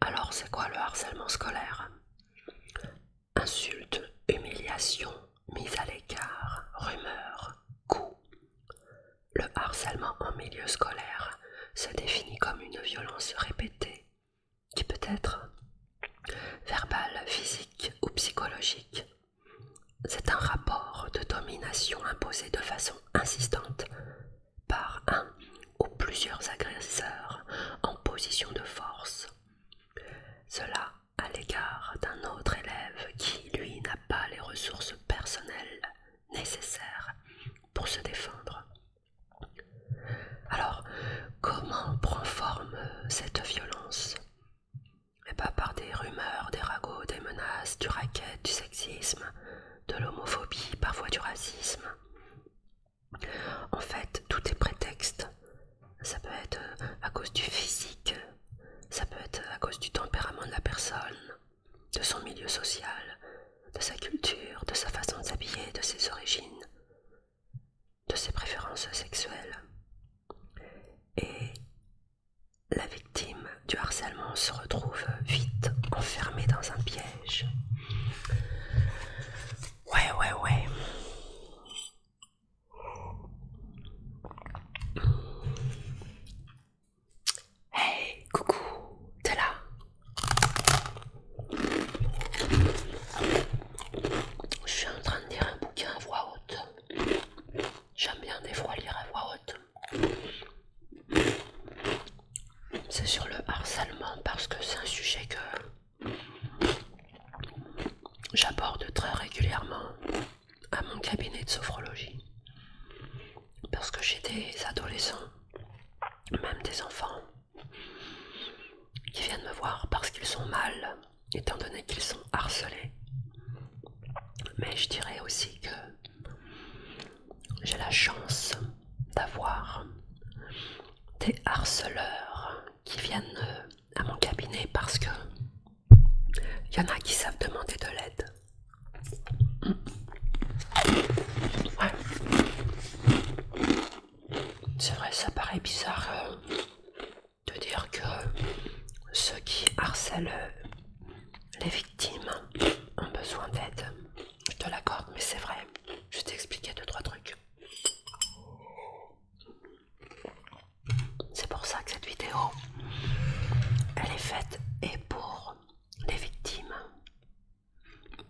Alors c'est quoi le harcèlement scolaire Insultes, humiliation, mise à l'écart, rumeur, coups. Le harcèlement en milieu scolaire se définit comme une violence répétée qui peut être verbale, physique ou psychologique c'est un rapport de domination imposé de façon insistante par un ou plusieurs agresseurs en position de force. Cela à l'égard d'un autre élève qui, lui, n'a pas les ressources personnelles nécessaires pour se défendre. Alors, comment prend forme cette violence et pas par des rumeurs, des ragots, des menaces, du racket, du sexisme, de l'homophobie, parfois du racisme. En fait, tout est prétexte. Ça peut être euh, à cause du physique, ça peut être à cause du tempérament de la personne, de son milieu social, de sa culture, de sa façon de s'habiller, de ses origines, de ses préférences sexuelles. Et la victime du harcèlement se retrouve vite enfermée dans un piège. Ouais, ouais, ouais. Hey, coucou, t'es là Je suis en train de lire un bouquin à voix haute. J'aime bien des fois lire à voix haute. C'est sur le harcèlement parce que c'est un sujet que j'aborde très régulièrement à mon cabinet de sophrologie. Parce que j'ai des adolescents, même des enfants, qui viennent me voir parce qu'ils sont mal étant donné qu'ils sont harcelés. Mais je dirais aussi que j'ai la chance d'avoir des harceleurs qui viennent à mon cabinet parce que il y en a qui savent demander de l'aide. C'est vrai, ça paraît bizarre. Euh, de dire que ceux qui harcèlent les victimes ont besoin d'aide. Je te l'accorde, mais c'est vrai. Je t'expliquer deux, trois trucs. C'est pour ça que cette vidéo, elle est faite et pour les victimes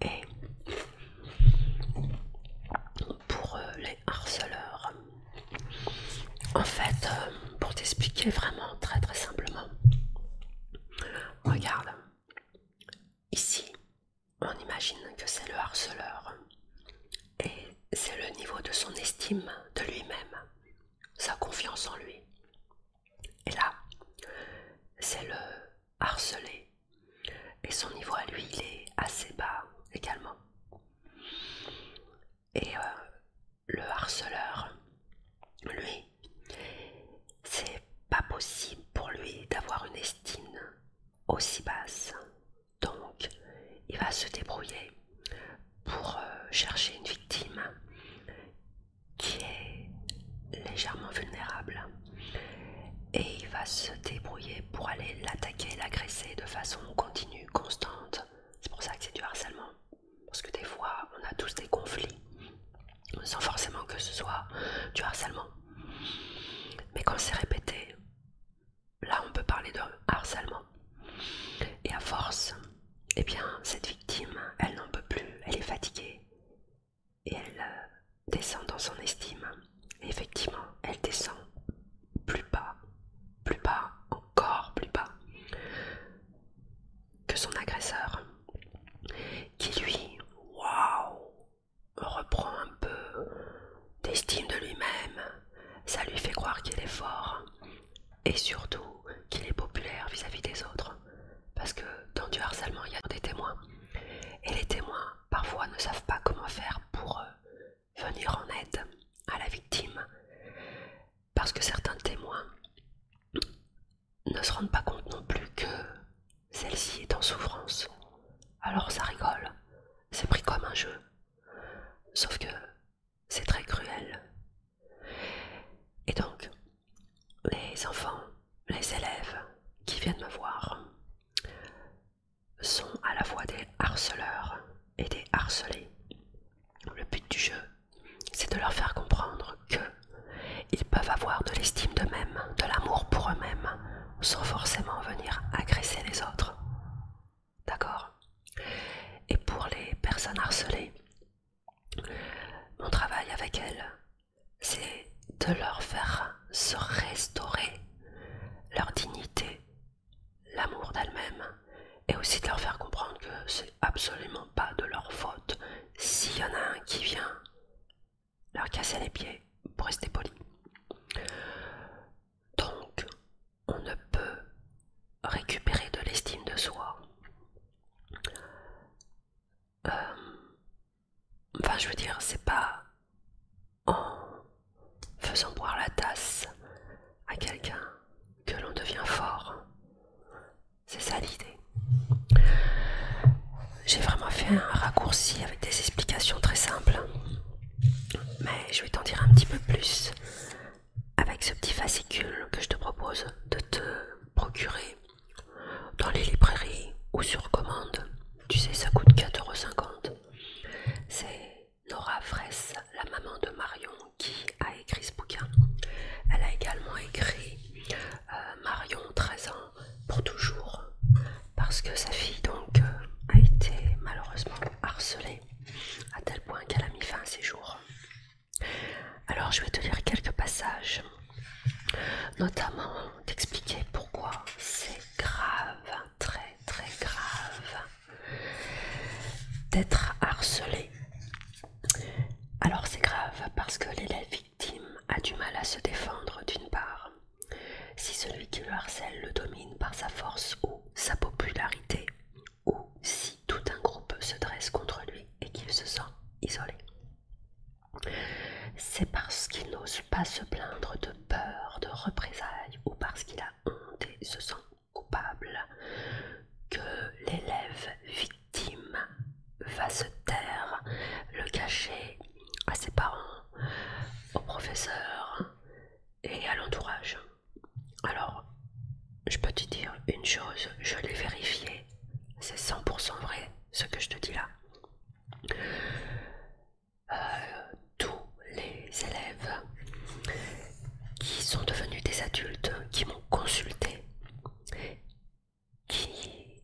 et pour euh, les harceleurs. En fait, euh, pour t'expliquer vraiment très très simplement, regarde, ici, on imagine que c'est le harceleur et c'est le niveau de son estime de lui-même, sa confiance en lui. Et là, c'est le harcelé et son niveau à lui, il est assez bas également. Et euh, le harceleur, lui, c'est pas possible pour lui d'avoir une estime aussi basse. Donc, il va se débrouiller pour euh, chercher une victime qui est légèrement vulnérable. Et il va se débrouiller pour aller l'attaquer, l'agresser de façon continue, constante. C'est pour ça que c'est du harcèlement. Parce que des fois, on a tous des conflits sans forcément que ce soit du harcèlement. Mais quand c'est répété, là on peut parler de harcèlement. Et à force, eh bien, cette victime, elle n'en peut plus, elle est fatiguée. Et elle euh, descend dans son estime. Et effectivement, elle descend plus bas, plus bas, encore plus bas que son agresseur, qui lui, waouh, reprend un peu d'estime de lui-même. Ça lui fait croire qu'il est fort et surtout qu'il est populaire vis-à-vis des autres. Parce que dans du harcèlement, il y a des témoins. Et les témoins, parfois, ne savent pas comment faire pour eux venir en aide à la victime parce que certains témoins ne se rendent pas compte non plus que celle-ci est en souffrance. Alors ça rigole, c'est pris comme un jeu. Sauf que c'est très cruel. Et donc, les enfants, les élèves qui viennent me voir sont à la fois des harceleurs et des harcelés, Le but du jeu, c'est de leur faire comprendre que ils peuvent avoir de l'estime d'eux-mêmes, de l'amour pour eux-mêmes, sans forcément venir agresser les autres. D'accord Et pour les personnes harcelées, mon travail avec elles, c'est de leur faire se restaurer leur dignité l'amour d'elle-même, et aussi de leur faire comprendre que c'est absolument pas de leur faute s'il y en a un qui vient leur casser les pieds pour rester poli. Donc, on ne peut récupérer de l'estime de soi. Euh, enfin, je veux dire, c'est pas en Faisons boire la tasse à quelqu'un que l'on devient fort. C'est ça l'idée. J'ai vraiment fait un raccourci avec des explications très simples. Mais je vais t'en dire un petit peu plus avec ce petit fascicule que je te propose de te procurer dans les librairies ou sur commande. Tu sais, ça coûte 4,50€. C'est Nora Vresse, la maman de Marion, qui a écrit ce bouquin. Elle a également écrit euh, Marion, 13 ans, pour toujours, parce que sa fille donc euh, a été malheureusement harcelée à tel point qu'elle a mis fin à ses jours. Alors je vais te lire quelques passages, notamment t'expliquer pourquoi c'est grave, très très grave d'être harcelé. Alors c'est grave parce que l'élève victime a du mal à se défendre d'une part. Si celui qui le harcèle le domine par sa force ou sa popularité, ou si tout un groupe se dresse contre lui et qu'il se sent isolé. C'est parce qu'il n'ose pas se plaindre de peur, de représailles ou parce qu'il a honte et se sent coupable, que l'élève victime va se taire, le cacher à ses parents, au professeur et à l'entourage. Alors, je peux te dire une chose, je l'ai vérifié, c'est 100% vrai ce que je te dis là. Euh, tous les élèves qui sont devenus des adultes, qui m'ont consulté, qui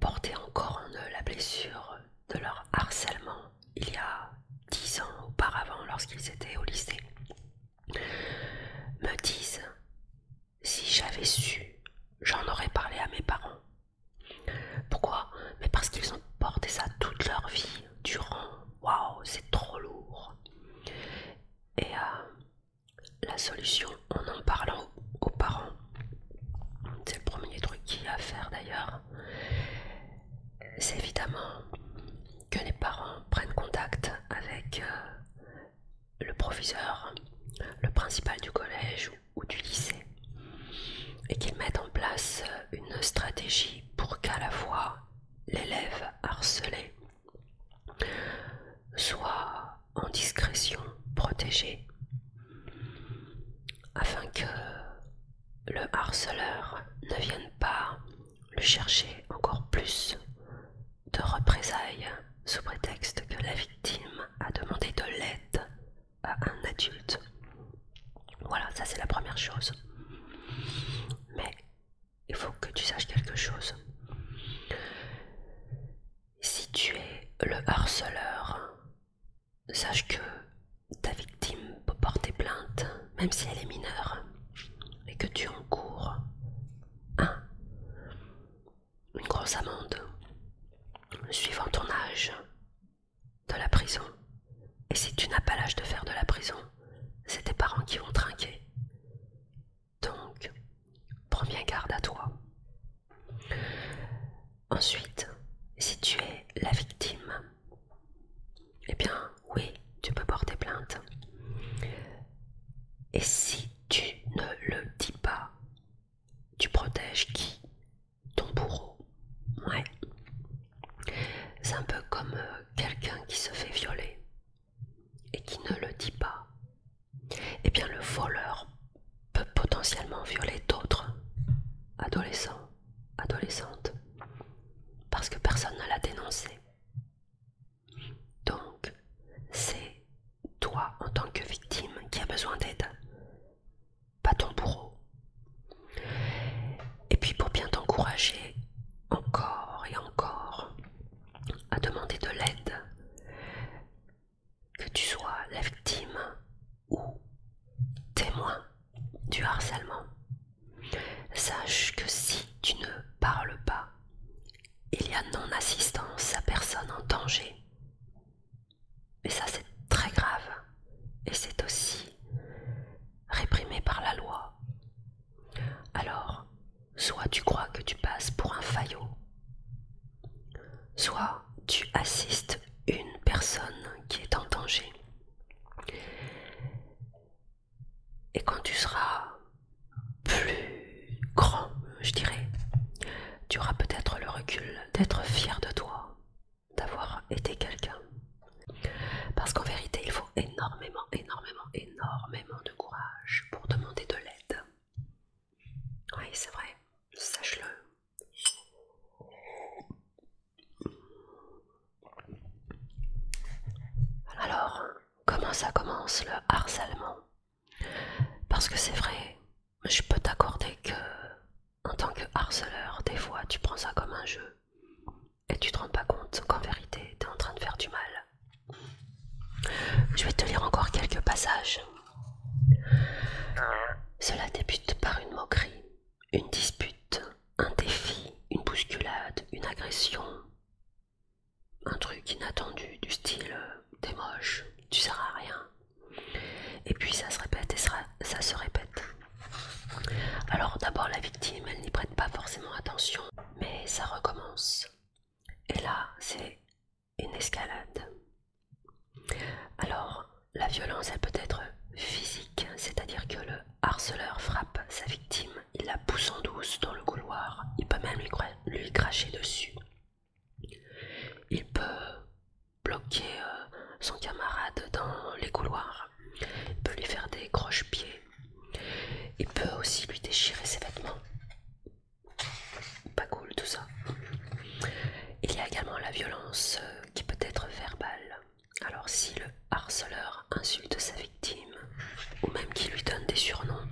portaient encore en eux la blessure de leur harcèlement il y a dix ans auparavant lorsqu'ils étaient au lycée, me disent si j'avais su, j'en aurais parlé à mes parents. Pourquoi Mais parce qu'ils ont porté ça toute leur vie, durant waouh, c'est trop lourd. Et euh, la solution, en en parlant aux parents, c'est le premier truc qu'il y a à faire d'ailleurs, c'est évidemment que les parents prennent contact avec euh, le professeur, le principal du collège ou du lycée, et qu'ils mettent en place une stratégie pour qu'à la fois l'élève harcelé, soit en discrétion protégé afin que le harceleur ne vienne pas le chercher encore plus de représailles sous prétexte que la victime a demandé de l'aide à un adulte. Voilà, ça c'est la première chose. Mais il faut que tu saches quelque chose. Si tu es le harceleur, sache que ta victime peut porter plainte, même si elle est mineure, et que tu encours un, une grosse amende, suivant ton âge, de la prison. Et si tu n'as pas l'âge de faire de la prison, c'est tes parents qui vont trinquer. Donc, prends bien garde à toi. Ensuite, si tu es la victime, eh bien, oui, tu peux porter plainte. Et si tu ne le dis pas, tu protèges qui Ton bourreau. Ouais. C'est un peu comme euh, quelqu'un qui se fait violer et qui ne le dit pas. Eh bien, le voleur peut potentiellement violer d'autres adolescents, adolescentes, parce que personne ne l'a dénoncé. Donc, c'est toi en tant que victime qui a besoin d'aide, pas ton bourreau, et puis pour bien t'encourager encore et encore à demander de l'aide, que tu sois la victime ou témoin du harcèlement, sache que si tu ne parles pas, il y a non-assistance à personne en danger. Et ça c'est très grave. Et c'est aussi réprimé par la loi. Alors, soit tu crois que tu passes pour un faillot, soit tu assistes une personne qui est en danger. Et quand tu seras plus grand, je dirais, tu auras peut-être le recul d'être fier de toi d'avoir été quelqu'un. Parce qu'en vérité, il faut énormément, énormément, énormément de courage pour demander de l'aide. Oui, c'est vrai, sache-le. Alors, comment ça commence le harcèlement Parce que c'est vrai, je peux t'accorder que, en tant que harceleur, des fois tu prends ça comme un jeu et tu te rends pas compte qu'en vérité t'es en train de faire du mal. Je vais te lire encore quelques passages. Cela débute par une moquerie, une dispute, un défi, une bousculade, une agression, un truc inattendu du style euh, t'es moche, tu seras à rien. Et puis ça se répète et ça se répète. Alors d'abord la victime, elle n'y prête pas forcément attention, mais ça recommence. Et là, c'est une escalade. Alors, la violence, elle peut être physique, c'est-à-dire que le harceleur frappe sa victime, il la pousse en douce dans le couloir, il peut même lui, cracher dessus. Il peut bloquer euh, son camarade dans les couloirs. Il peut lui faire des croche-pieds. Il peut aussi lui déchirer ses vêtements. Pas cool tout ça. Il y a également la violence euh, qui peut être verbale. Alors si le harceleur insulte sa victime ou même qu'il lui donne des surnoms,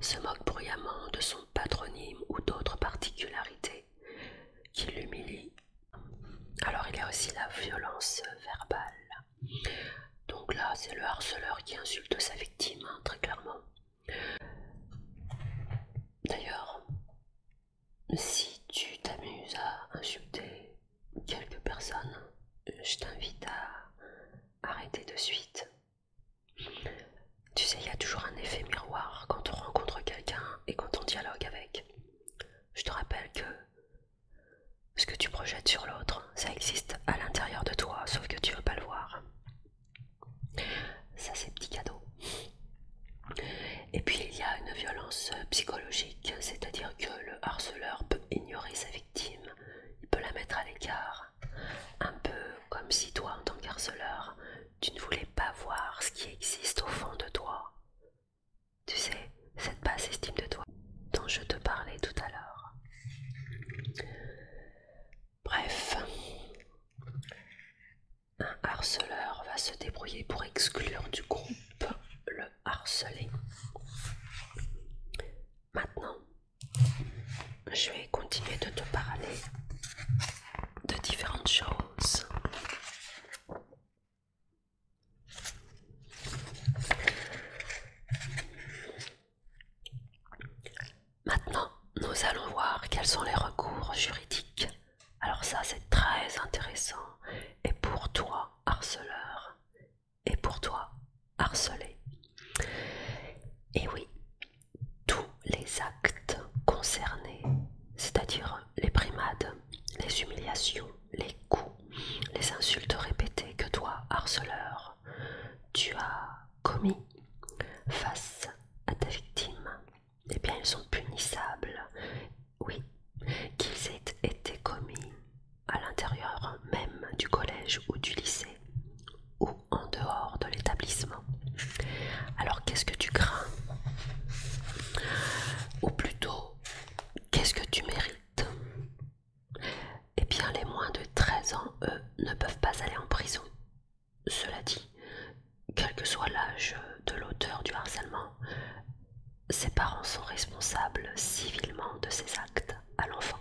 se moque bruyamment de son patronyme ou d'autres particularités, qui l'humilie alors il y a aussi la violence verbale. Donc là, c'est le harceleur qui insulte sa victime, hein, très clairement. D'ailleurs, si tu t'amuses à insulter quelques personnes, je t'invite à arrêter de suite. Tu sais, il y a toujours un effet miroir quand on rencontre quelqu'un et quand on dialogue avec. Je te rappelle que ce que tu projettes sur l'autre, ça existe à l'intérieur de toi, sauf que tu ne veux pas le voir. Ça, c'est petit cadeau. Et puis il y a une violence psychologique, c'est-à-dire que le harceleur peut ignorer sa victime, il peut la mettre à l'écart, un peu comme si toi, en tant qu'harceleur, tu ne voulais pas voir ce qui existe au fond de toi, tu sais, cette basse estime de toi dont je te parlais tout à l'heure. Bref, un harceleur va se débrouiller pour exclure du groupe le harcelé. Maintenant, je vais continuer de te parler de différentes choses. Maintenant, nous allons voir quels sont les recours juridiques. Alors ça, c'est très intéressant. Et pour toi, harceleur. Et pour toi, harcelé. Et oui, tous les actes concernés, c'est-à-dire les primades, les humiliations, les coups, les insultes répétées que toi, harceleur, tu as commis face à ta victime, eh bien ils sont punissables, oui, qu'ils aient été commis à l'intérieur même du collège ou du lycée, ou en dehors de l'établissement. Alors qu'est-ce que tu crains Ou plutôt, Qu'est-ce que tu mérites Eh bien, les moins de 13 ans, eux, ne peuvent pas aller en prison. Cela dit, quel que soit l'âge de l'auteur du harcèlement, ses parents sont responsables civilement de ses actes à l'enfant.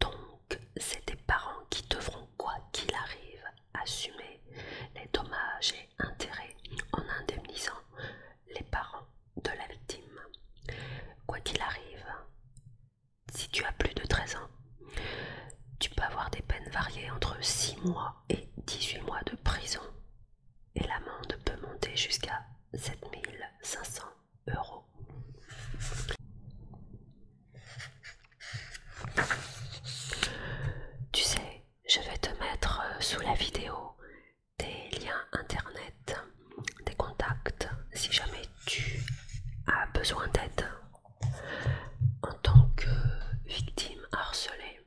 Donc, c'est des parents qui devront, quoi qu'il arrive, assumer les dommages intérêt en indemnisant les parents de la victime. Quoi qu'il arrive, si tu as plus de 13 ans, tu peux avoir des peines variées entre 6 mois et 18 mois de prison et l'amende peut monter jusqu'à 7500 euros. Tu sais, je vais te mettre euh, sous la vidéo des liens internet, des contacts, si jamais tu as besoin d'aide en tant que victime harcelée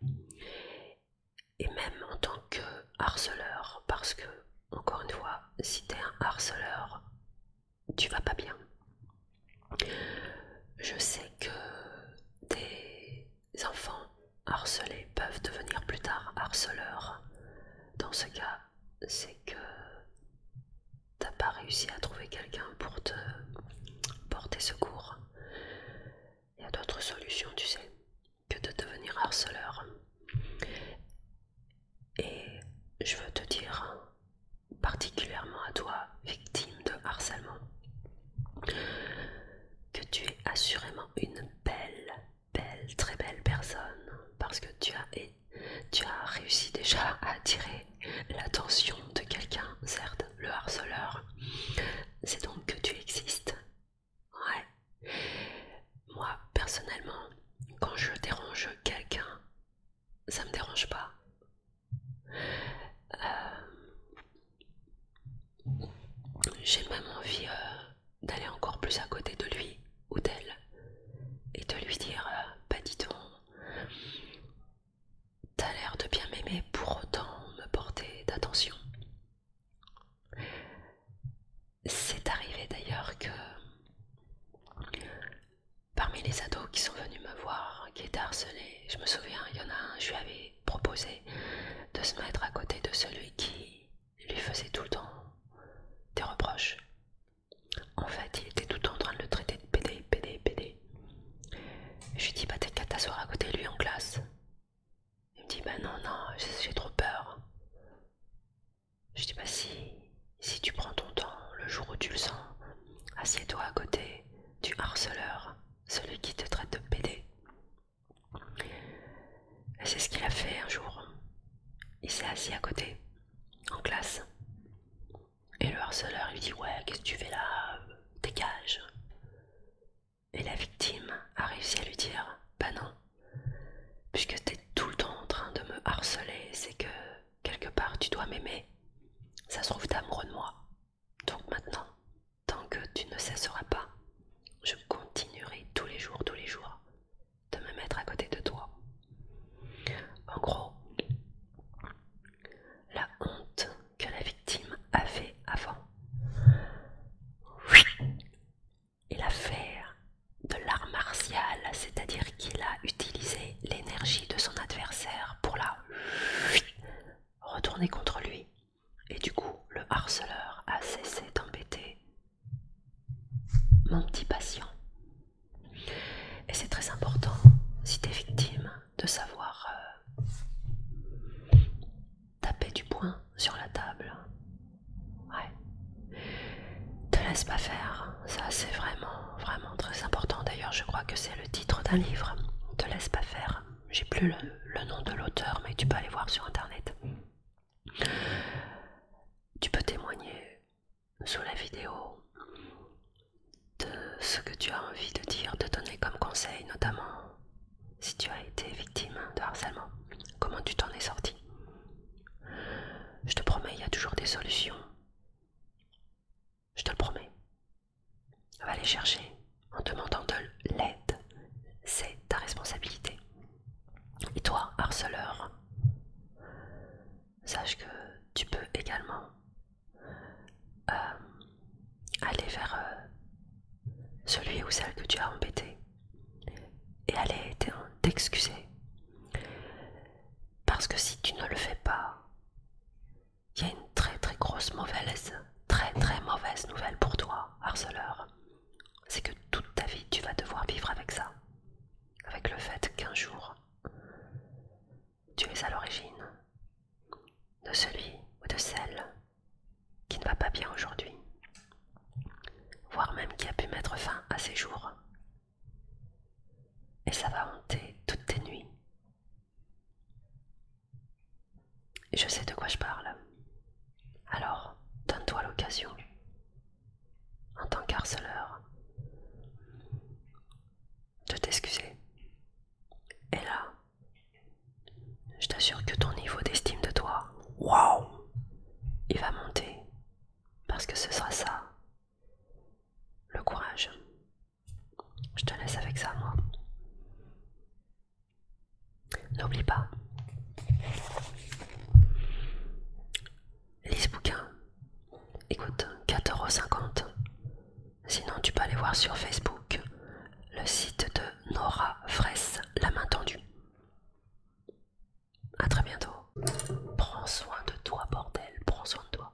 et même en tant que harceleur, parce que, encore une fois, si tu es un harceleur, tu vas pas bien. Je sais que t'es les enfants harcelés peuvent devenir plus tard harceleurs. Dans ce cas, c'est que t'as pas réussi à trouver quelqu'un pour te porter secours. Il y a d'autres solutions, tu sais, que de devenir harceleur. Et je veux te dire, particulièrement à toi, victime de harcèlement, que tu es assurément une belle, belle, très belle personne parce que tu as, tu as réussi déjà à attirer l'attention de quelqu'un, certes, le harceleur. C'est donc que tu existes. Ouais. Moi, personnellement, quand je dérange quelqu'un, ça me dérange pas. Euh, j'ai même envie euh, d'aller encore plus à côté de lui ou d'elle et de lui dire euh, Bah, dis donc, t'as l'air de bien m'aimer pour autant me porter d'attention. C'est arrivé d'ailleurs que parmi les ados qui sont venus me voir, qui étaient harcelés, je me souviens, il y en a un, je lui avais proposer de se mettre à côté de celui qui lui faisait tout le temps des reproches. En fait, il était tout le temps en train de le traiter de pédé, pédé, pédé. Je lui dis, bah t'es qu'à t'asseoir à côté de lui en classe. Il me dit, bah non, non, j'ai trop peur. Je dis, bah si, si tu prends ton temps, le jour où tu le sens, assieds-toi à côté du harceleur, celui qui te traite de pédé. C'est ce qu'il a fait un jour. Il s'est assis à côté, en classe. Et le harceleur lui dit Ouais, qu'est-ce que tu fais là Dégage. Et la victime a réussi à lui dire Bah non, puisque t'es tout le temps en train de me harceler, c'est que quelque part tu dois m'aimer. Ça se trouve, t'as amoureux de moi. Donc maintenant, Tant que tu ne cesseras pas, je continuerai tous les jours, tous les jours, de me mettre à côté de toi. En gros, la honte que la victime avait avant. et l'affaire de l'art martial, c'est-à-dire qu'il a utilisé l'énergie de son adversaire pour la retourner contre lui et du coup le harceleur a cessé d'embêter mon petit patient. Et c'est très important, si t'es victime, de savoir euh, taper du poing sur la table. Ouais. Te laisse pas faire, ça c'est vraiment, vraiment très important. D'ailleurs, je crois que c'est le titre d'un livre. Te laisse pas faire j'ai plus le, nom de l'auteur, mais tu peux aller voir sur internet. Tu peux témoigner sous la vidéo de ce que tu as envie de dire, de donner comme conseil, notamment si tu as été victime de harcèlement, comment tu t'en es sorti. Je te promets, il y a toujours des solutions. Je te le promets. Va les chercher en demandant de l'aide. C'est ta responsabilité. Et toi, harceleur, sache que tu peux également euh, aller vers euh, celui ou celle que tu as embêté et aller t'excuser. Parce que si tu ne le fais pas, il y a une très très grosse mauvaise, très très mauvaise nouvelle pour toi, harceleur. C'est que toute ta vie, tu vas devoir vivre avec ça. Avec le fait qu'un jour, tu es à l'origine de celui ou de celle qui ne va pas bien aujourd'hui, voire même qui a pu mettre fin à ses jours. Et ça va hanter toutes tes nuits. Je sais de quoi je parle. Alors, donne-toi l'occasion. En tant qu'harceleur, de t'excuser. Et là, je t'assure que ton niveau d'estime de toi, waouh, il va monter. Parce que ce sera ça, le courage. Je te laisse avec ça, moi. N'oublie pas, lise ce bouquin. Écoute, 4,50€. Sinon, tu peux aller voir sur Facebook le site de Nora Fraisse, la main tendue. A très bientôt. Prends soin de toi, bordel. Prends soin de toi.